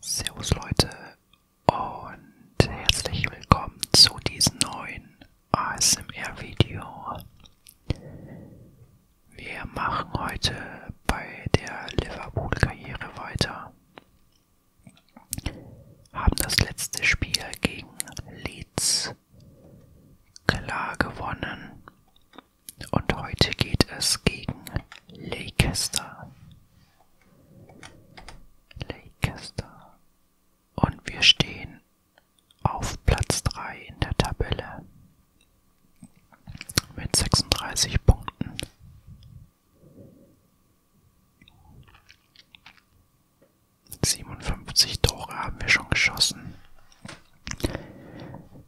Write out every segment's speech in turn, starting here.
Servus Leute und herzlich willkommen zu diesem neuen ASMR-Video. Wir machen heute bei der Liverpool-Karriere weiter. Haben das letzte Spiel gegen Leeds klar gewonnen und heute geht es gegen Leicester. Leicester. Und wir stehen auf Platz 3 in der Tabelle mit 36 Punkten. Siebenundfünfzig Tore haben wir schon geschossen.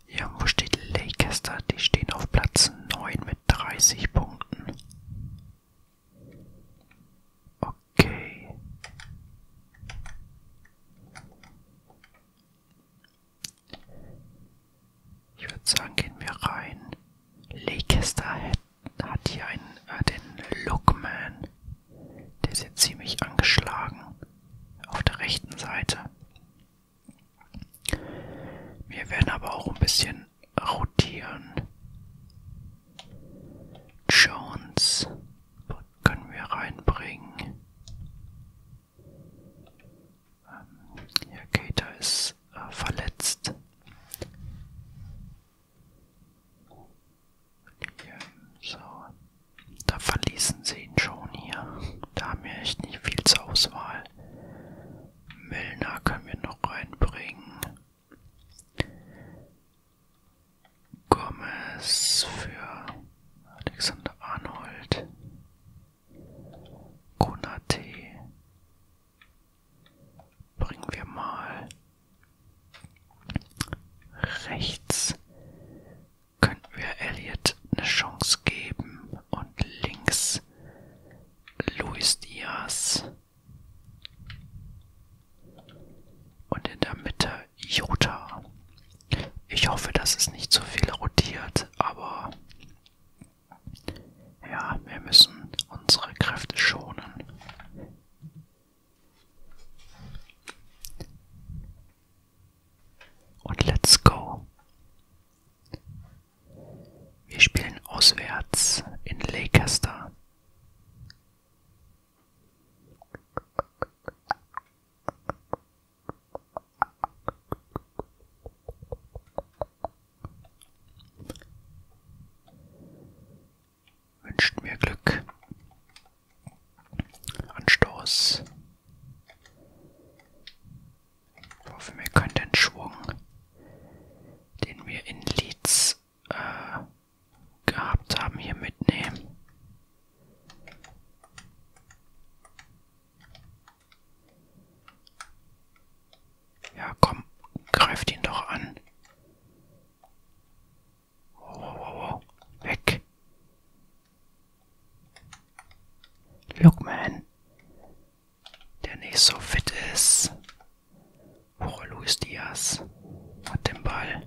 Irgendwo steht Leicester, die stehen auf Platz 9 mit 30 Punkten. Okay. Ich würde sagen, gehen wir rein. Leicester hat, hat hier einen, äh, den Lookman. Der ist jetzt ziemlich angeschlagen. Auf der rechten Seite. Wir werden aber auch ein bisschen rotieren. Jones können wir reinbringen. Ähm, ja, Keita ist äh, verletzt. Hier, so. Da verließen sie ihn schon hier. Da haben wir echt nicht viel zur Auswahl. Milner können wir noch reinbringen. Gomez für Alexander Arnold. Konate bringen wir mal rechts könnten wir Elliot eine Chance geben und links Luis Diaz und in der Mitte Jota. Ich hoffe, dass es nicht zu so viel rotiert, aber ja, wir müssen unsere Kräfte schonen. Und let's go. Wir spielen auswärts in Leicester. Wünscht mir Glück. Anstoß. Ich hoffe, wir können den Schwung, den wir in Leeds äh, gehabt haben, hier mitnehmen. Ja, komm, greift ihn doch an. Wow, wow, wow, wow. Weg. Lookman, der nicht so fit ist. Oh, Luis Diaz hat den Ball.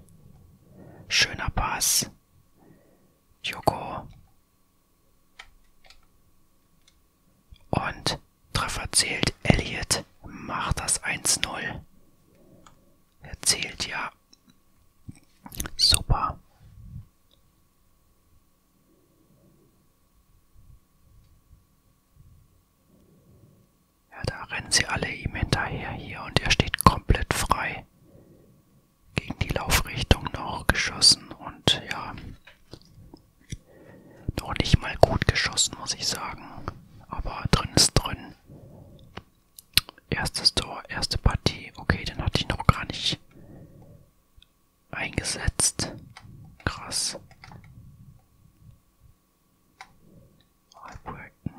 Schöner Pass. Joko. Und Treffer zählt. Elliot macht das 1-0. Er zählt ja Super. Ja, da rennen sie alle ihm hinterher hier und er steht komplett frei. Gegen die Laufrichtung noch geschossen und ja, noch nicht mal gut geschossen, muss ich sagen. Aber drin ist drin. Erstes Tor, erste Partie. Okay, den hatte ich noch gar nicht eingesetzt. Krass. Albrechten.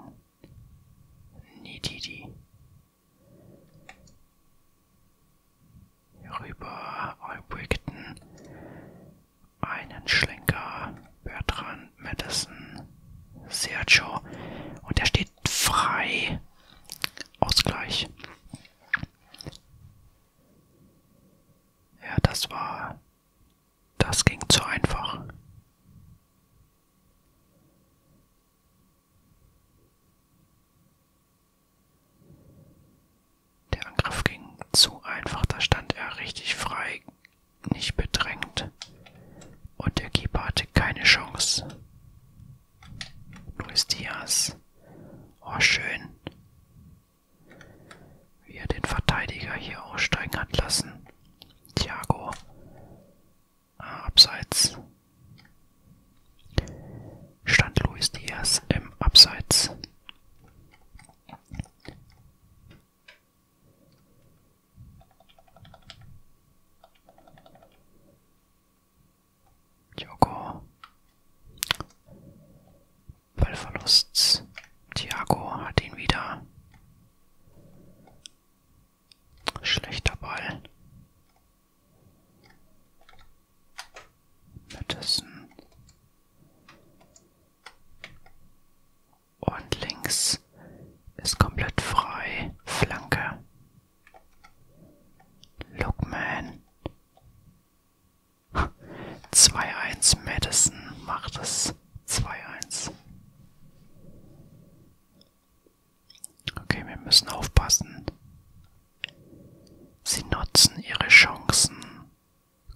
Nididi. Hier rüber. Albrechten. Einen Schlenker. Bertrand. Madison. Sergio. Und der steht frei. Ausgleich. Ja, das war. Das ging zu einfach. Der Angriff ging zu einfach, da stand er richtig frei, nicht bedrängt. Und der Keeper hatte keine Chance. Luis Diaz. Oh, schön. Wie er den Verteidiger hier aussteigen hat lassen. Thiago. Ah, abseits. Stand Luis Diaz im Abseits. Joko. Ballverlust. Thiago hat ihn wieder. Schlechter Ball. Madison und links ist komplett frei. Flanke. Lookman. 2-1 Madison macht es. 2-1. Okay, wir müssen aufpassen. Sie nutzen ihre Chancen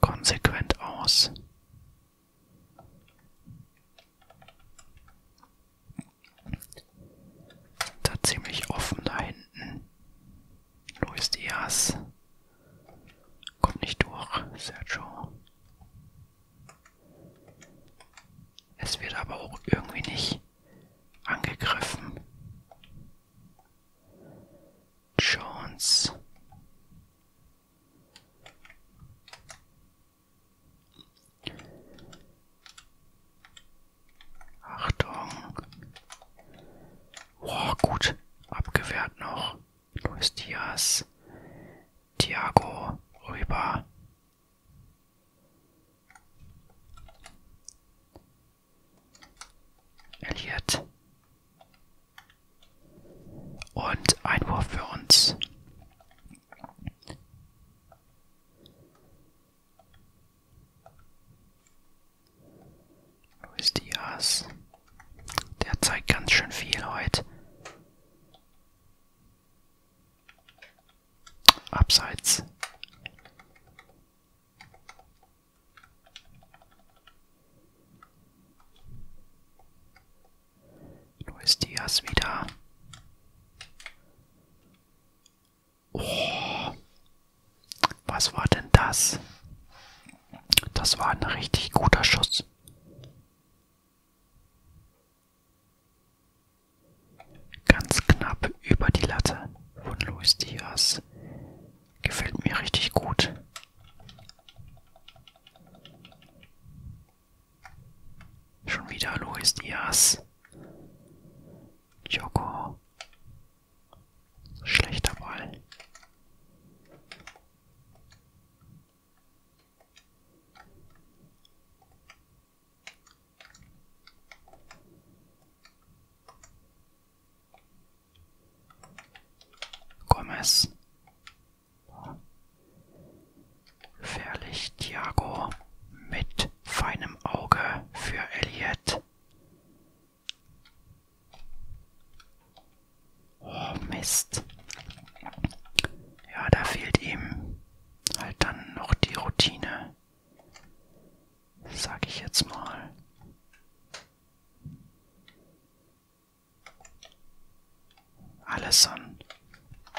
konsequent aus. Da ziemlich offen da hinten. Luis Diaz. Kommt nicht durch, Sergio. Es wird aber auch irgendwie nicht angegriffen. Jones. Achtung. Boah, gut. Abgewehrt noch. Luis Diaz. Thiago rüber. Elliot. Und Einwurf für uns. Luis Diaz. Der zeigt ganz schön viel heute. Abseits. Wo ist Dias wieder? Oh, was war denn das? Das war ein richtig guter Schuss. Ganz knapp über die Latte von Luis Diaz. Gefällt mir richtig gut. Schon wieder Luis Diaz. Joko. Schlechter Ball. Gomez. Gefährlich Thiago mit feinem Auge für Elliot. Oh Mist. Ja, da fehlt ihm halt dann noch die Routine. Sag ich jetzt mal. Allison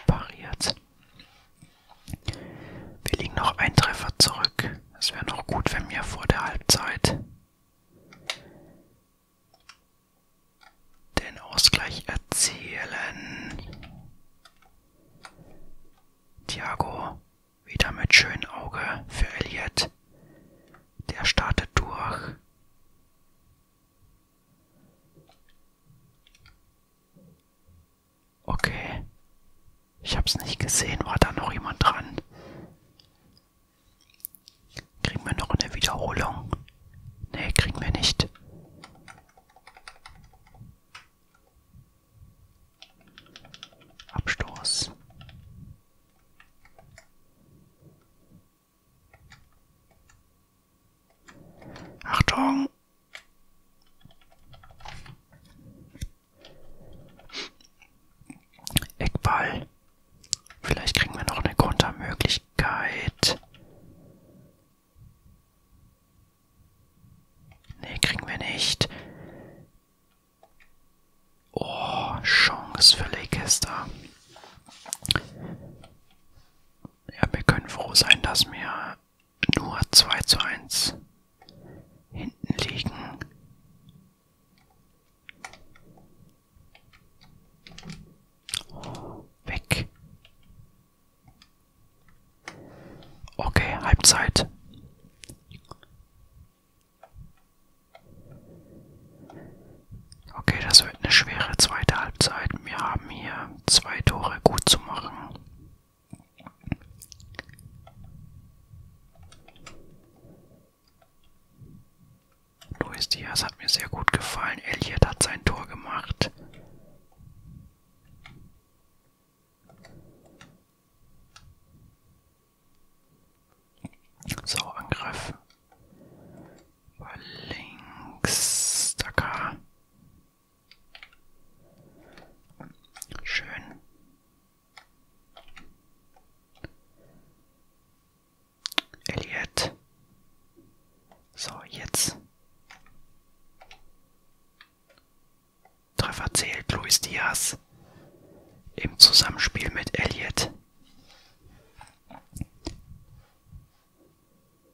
pariert. Wir liegen noch ein Treffer zurück. Es wäre noch gut, wenn wir vor der Halbzeit den Ausgleich erzielen. Thiago wieder mit schönem Auge für Elliot. Der startet durch. Okay. Ich hab's nicht gesehen. War da noch jemand dran? Kriegen wir noch eine Wiederholung? Nee, kriegen wir nicht. Abstoß. Achtung! Eckball. Vielleicht kriegen wir noch eine Kontermöglichkeit. Nee, kriegen wir nicht. Oh, Chance für Leicester. Ja, wir können froh sein, dass wir nur 2 zu 1 hinten liegen. Oh, weg. Okay, Halbzeit. Okay, das wird eine schwere zweite Halbzeit. Wir haben hier zwei Tore gut zu machen. Luis Diaz hat mir sehr gut gefallen. Elliot hat sein Tor gemacht. So, Angriff. Über links. Dacker. Schön. Elliot. So, jetzt. Treffer zählt Luis Diaz im Zusammenspiel mit Elliot.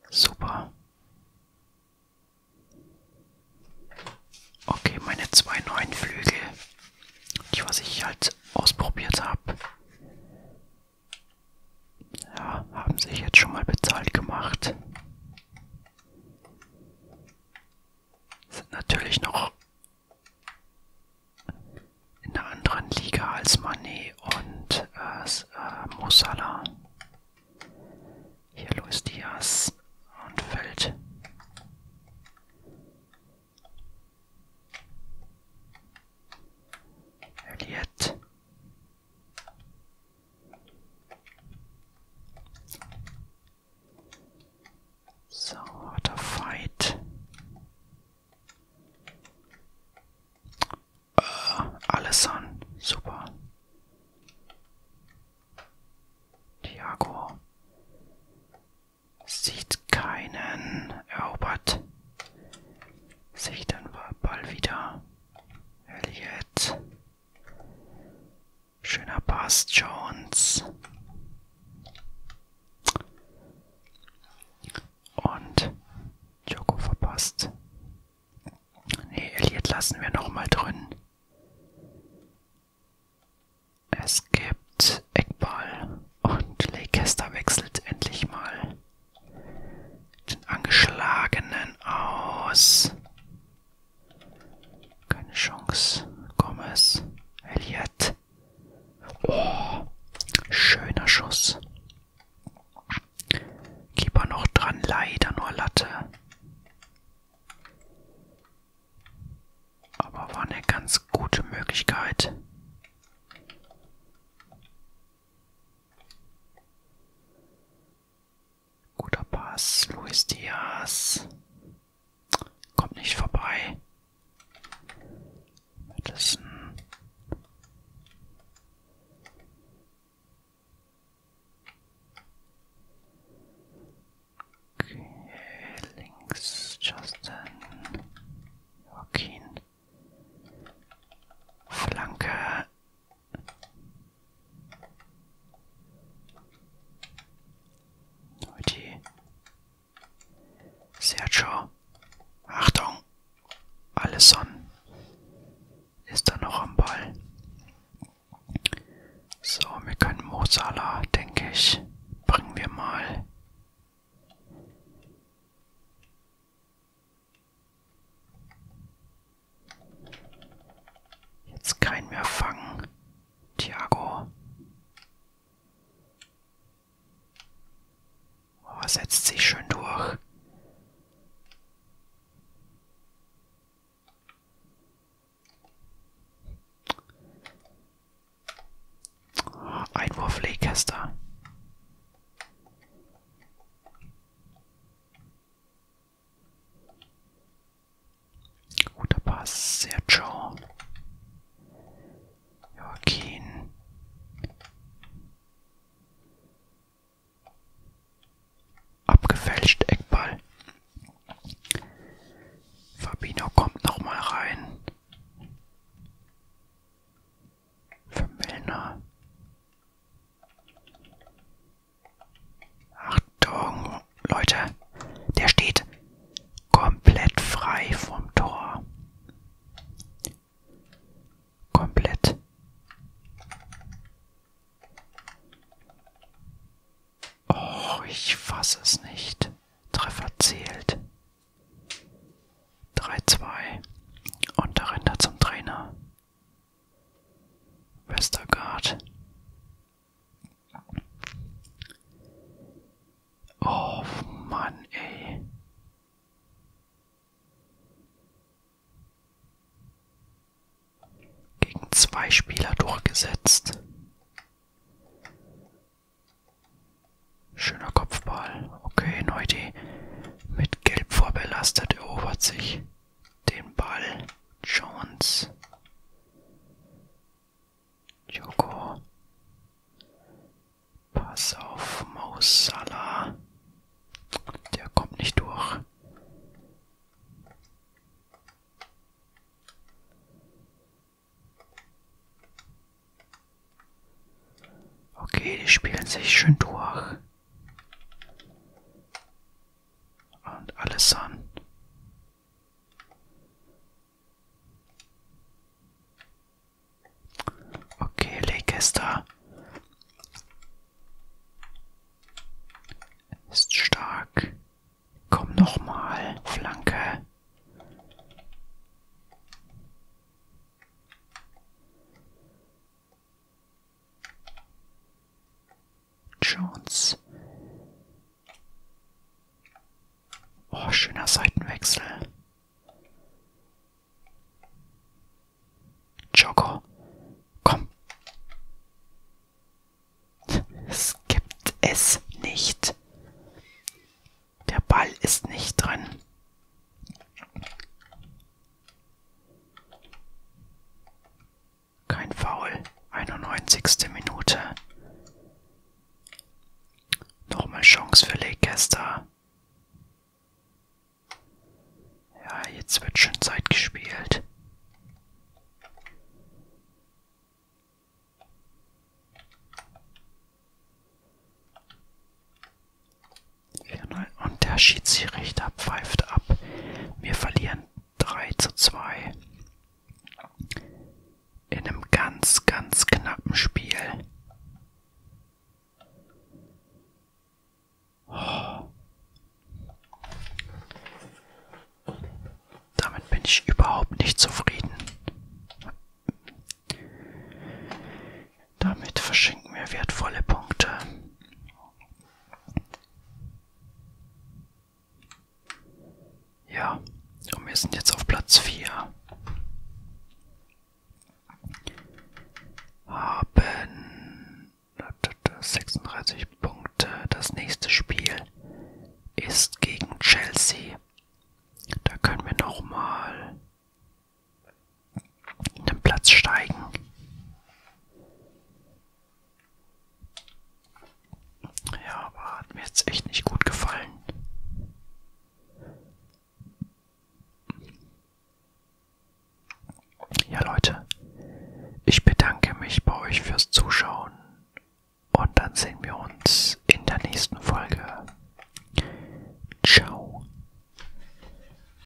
Super. Okay, meine zwei neuen Flügel, die was ich halt ausprobiert habe, ja, haben sich jetzt schon mal bezahlt gemacht. Sind natürlich noch in einer anderen Liga als Manet und äh, äh, Mo Salah. Hier Luis Diaz und Feld. Elliot. So, what a fight. Äh, alles an. Super. Diago sieht keinen erobert. Sehe ich dann Ball wieder. Elliot. Schöner Bass Jones. Und Joko verpasst. Nee, Elliot lassen wir nochmal drin. Es gibt Eckball und Leicester wechselt endlich mal den Angeschlagenen aus. Keine Chance. Gomez. Elliot. Oh, schöner Schuss. Keeper noch dran, leider nur Latte. Aber war eine ganz gute Möglichkeit. Guter Pass, Luis Diaz. Kommt nicht vorbei. Madison. Okay, links Justin. Joaquin. Flanke. Die Sergio. Achtung. Allison ist da noch am Ball. So, wir können Mosala, denke ich, bringen wir mal. Jetzt keinen mehr fangen. Thiago. Oh, setzt sich schön durch. Oh, Einwurf Leicester. Guter Pass, Sergio. Joaquin. Abgefälscht, Eckball. Fabino kommt nochmal rein. Für Milner. Achtung, Leute, der steht komplett frei vom Tor. Komplett. Oh, ich fasse es nicht. Treffer zählt. 3-2. Und da rennt er zum Trainer. Westergaard. Oh Mann, ey. Gegen zwei Spieler durchgesetzt. Schöner Kopfball. Okay, Neuti mit Gelb vorbelastet erobert sich den Ball. Jones. Joko. Pass auf Mo Salah. Der kommt nicht durch. Okay, die spielen sich schön durch und alles an. Okay, Leicester ist stark. Komm nochmal, Flanke. Jones. Oh, schöner Seitenwechsel. Joko, komm. Es gibt es nicht. Der Ball ist nicht drin. Kein Foul. 91. Minute. Nochmal Chance für Leicester. Ja, jetzt wird schon Zeit gespielt sollen. Und der Schiedsrichter pfeift ab. Wir verlieren 3 zu 2. In einem ganz, ganz knappen Spiel. Oh. Damit bin ich überhaupt nicht zufrieden. Damit verschenken wir wertvolle Punkte. Ja, und wir sind jetzt auf Platz 4. Haben 36 Punkte. Das nächste Spiel ist gegen Chelsea. Da können wir nochmal in den Platz steigen. Ja, aber hat mir jetzt echt nicht gut gefallen. Ja Leute, ich bedanke mich bei euch fürs Zuschauen und dann sehen wir uns in der nächsten Folge. Ciao.